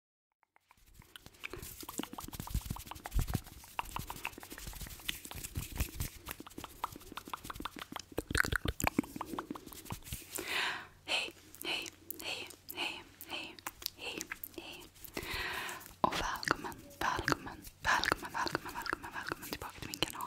Hej, hej, hej, hej, hej, hej, hej. Och välkommen, välkommen, välkommen, välkommen, välkommen, välkommen tillbaka till min kanal.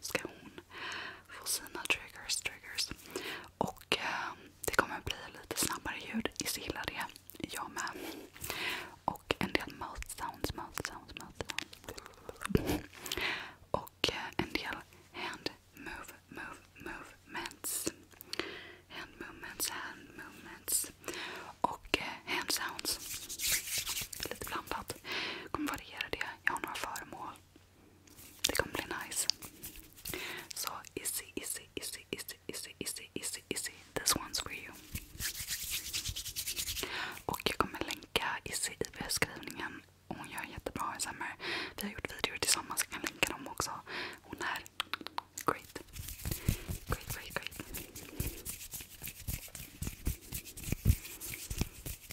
ska hon få sina triggers. triggers. Och eh, det kommer bli lite snabbare ljud. Issi gillar det. Jag med. Och en del mouth sounds, mouth sounds, mouth sounds. Och eh, en del hand move, move, movements. Hand movements, hand movements. Och eh, hand sounds. Lite blandat. Kommer variera det. Jag har några föremål. Det kommer bli nice. Så Izzy, Izzy, Izzy, Izzy, Izzy, Izzy, Izzy, Izzy. This one's for you. Och jag kommer länka Izzy i beskrivningen. Hon gör jättebra ASMR. Vi har gjort videor tillsammans. Jag kan länka dem också. Hon är great. Great, great, great.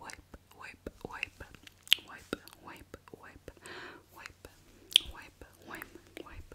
Wipe, wipe, wipe, wipe, wipe, wipe, wipe, wipe, wipe, wipe.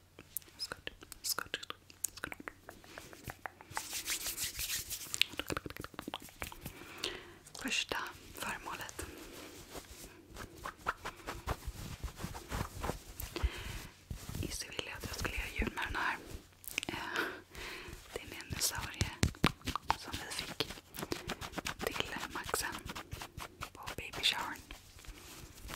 good. That's good. That's good. That's good. Första föremålet. Issy ville att jag skulle göra jul med den här. Eh, det är en dinosaurie som vi fick till Maxen på baby showern.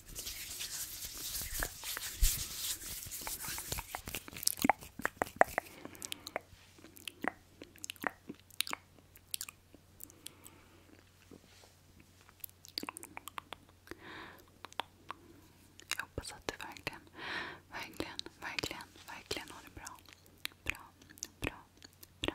Jag hoppas att du verkligen, verkligen, verkligen, verkligen har det bra. Bra, bra, bra.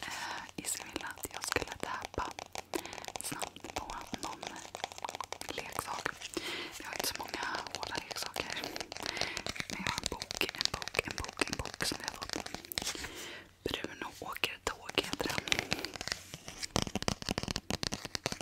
Eh, Isse ville att jag skulle täpa snabbt på någon leksak. Jag har inte så många hårda leksaker. Men jag har en bok, en bok, en bok, en bok som jag har fått. Bruno åker tåg heter den.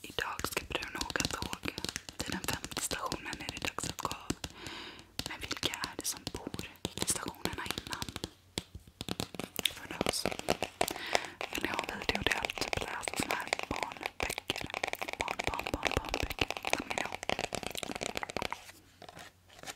Idag ska Bruno åka tåg. Till den femte stationen är det dags att gå av. Men vilka är det som bor i stationerna innan? Förlåt. Vill ni ha en video där jag typ läser såna här barnböcker? Barn, barn, barn, barnböcker. Samma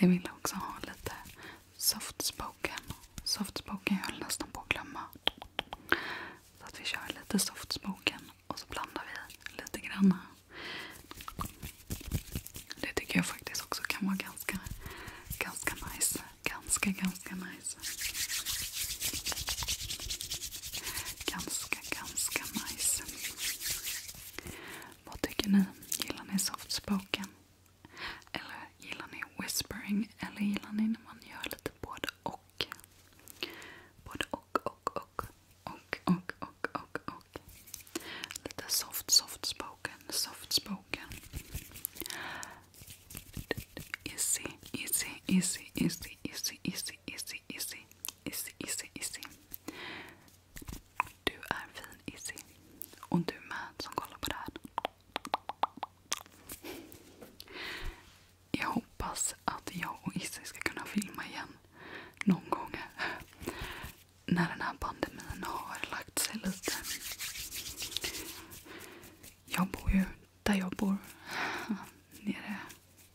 I vill också ha lite soft spoken. Soft spoken jag höll nästan på att glömma. Så att vi kör lite soft spoken och så blandar vi lite grann. Det tycker jag faktiskt också kan vara ganska, ganska nice. Ganska, ganska nice. Ganska, ganska nice. Vad tycker ni? Gillar ni soft spoken? Eller gillar ni whispering? Eller gillar ni när man gör lite både och? Både och, och, och. Och, och, och, och, och. Lite soft, soft spoken. Soft spoken. Easy, easy, easy, easy, easy, easy, easy, easy. Easy, easy, easy. Du är fin Izzy. Och du med som kollar på det här. Jag hoppas att jag och Izzy ska kunna filma igen någon gång. När den här pandemin har lagt sig lite. Jag bor ju där jag bor. Nere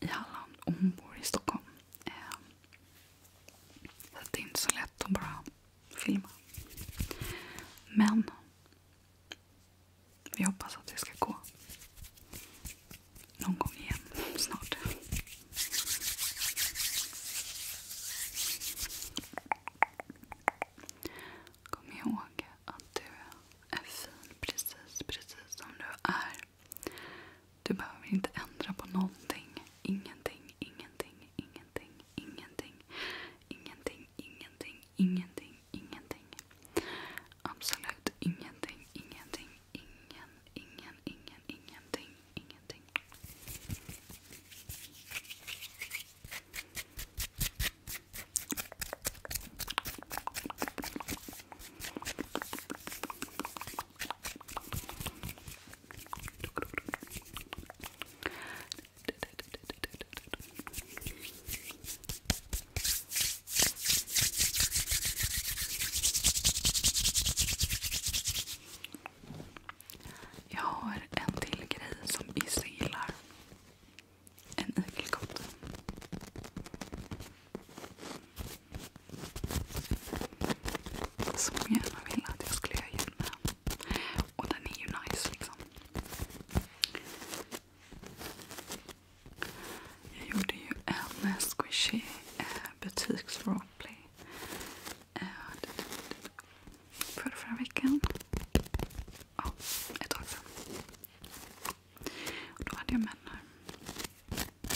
i Halland. Och hon bor i Stockholm. Ehm, så det är inte så lätt att bara filma. Men vi hoppas att det ska gå. Någon gång igen snart. Kom ihåg att du är fin precis, precis som du är. Du behöver inte ändra på någonting. Ingenting, ingenting, ingenting, ingenting, ingenting, ingenting, ingenting, ingenting. Absolut ingenting, ingenting, ingen, ingen, ingen, ingenting, ingenting. Jag har en till grej som Isse gillar. En igelkott. Som gärna ville att jag skulle göra ljud med. Och den är ju nice liksom. Jag gjorde ju en eh, squishy eh, butiks roleplay eh, för förra veckan. Ja, ett tag sedan. Då hade jag med den här.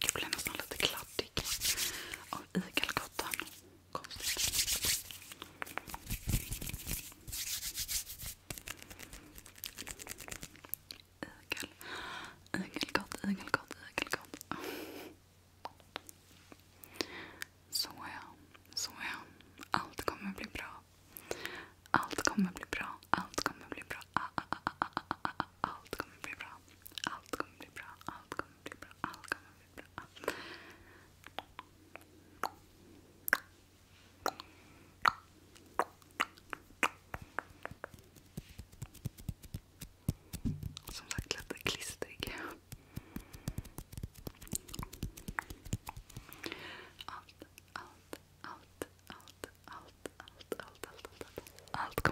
jag blev nästan lite kladdig av igelkottan. Konstigt. Igel. Igelkott, igelkott, igelkott. Så ja, Allt kommer bli bra. Allt kommer bli bra. Allt kommer bli bra. Ah, ah, ah, ah, ah, allt kommer bli bra. Allt kommer bli bra. Allt kommer bli bra. Allt kommer bli bra. Som sagt lite klistrig. Allt, allt, allt, allt, allt, allt, allt,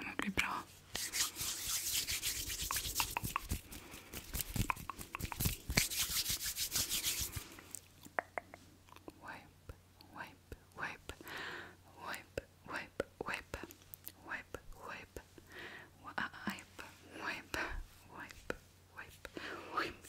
Wipe, wipe, wipe, wipe, wipe, wipe, wipe, wipe, wipe, wipe, wipe, wipe,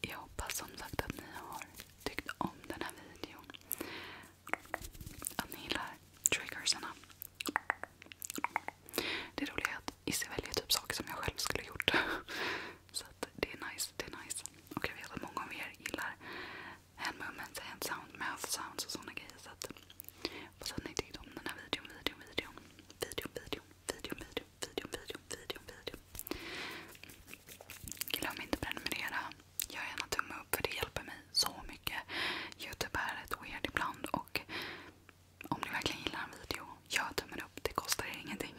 Jag hoppas som sagt att ni har tyckt om den här videon. Att ni gillar triggersarna. Det är roligt. Isse väljer typ saker som jag själv skulle gjort. Så att det är nice. det är nice. Och jag vet att många av er gillar hand movements, hand sound, mouth sounds och sådana grejer. Så att hoppas att ni tyckte om den här videon, videon, videon. Videon, videon, videon, videon, videon, videon, videon, videon. Glöm inte prenumerera. Gör gärna tumme upp för det hjälper mig så mycket. Youtube är ett weird ibland och om ni verkligen gillar en video, gör tummen upp. Det kostar er ingenting.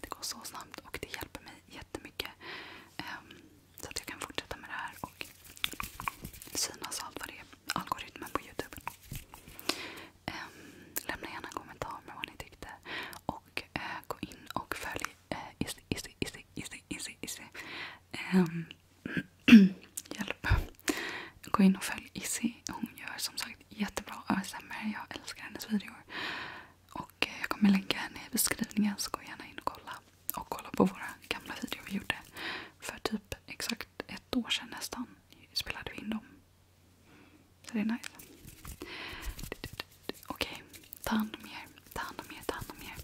Det går så snabbt och det hjälper mig jättemycket. Um, så att jag kan fortsätta med det här och synas allt vad det är. Algoritmen på Youtube. Um, lämna gärna en kommentar med vad ni tyckte. Och uh, gå in och följ uh, Izzy, Izzy, Izzy, Izzy, Izzy. Um, hjälp. Gå in och följ Izzy. Hon gör som sagt jättebra ASMR. Jag älskar hennes videor. Och eh, jag kommer lägga henne i beskrivningen så gå gärna in och kolla. Och kolla på våra gamla videor vi gjorde för typ exakt ett år sedan nästan. Spelade vi in dem. Så det är nice. Okej, ta hand om er. Ta hand om er, ta hand om er.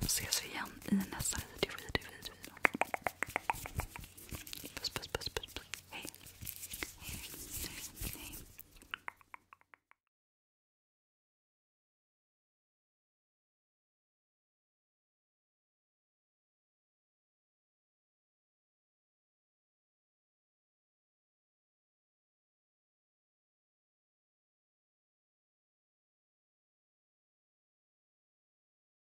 Så ses vi igen i nästa video. Puss, puss, puss, puss, puss. Hey. Hey. Hey. Hey.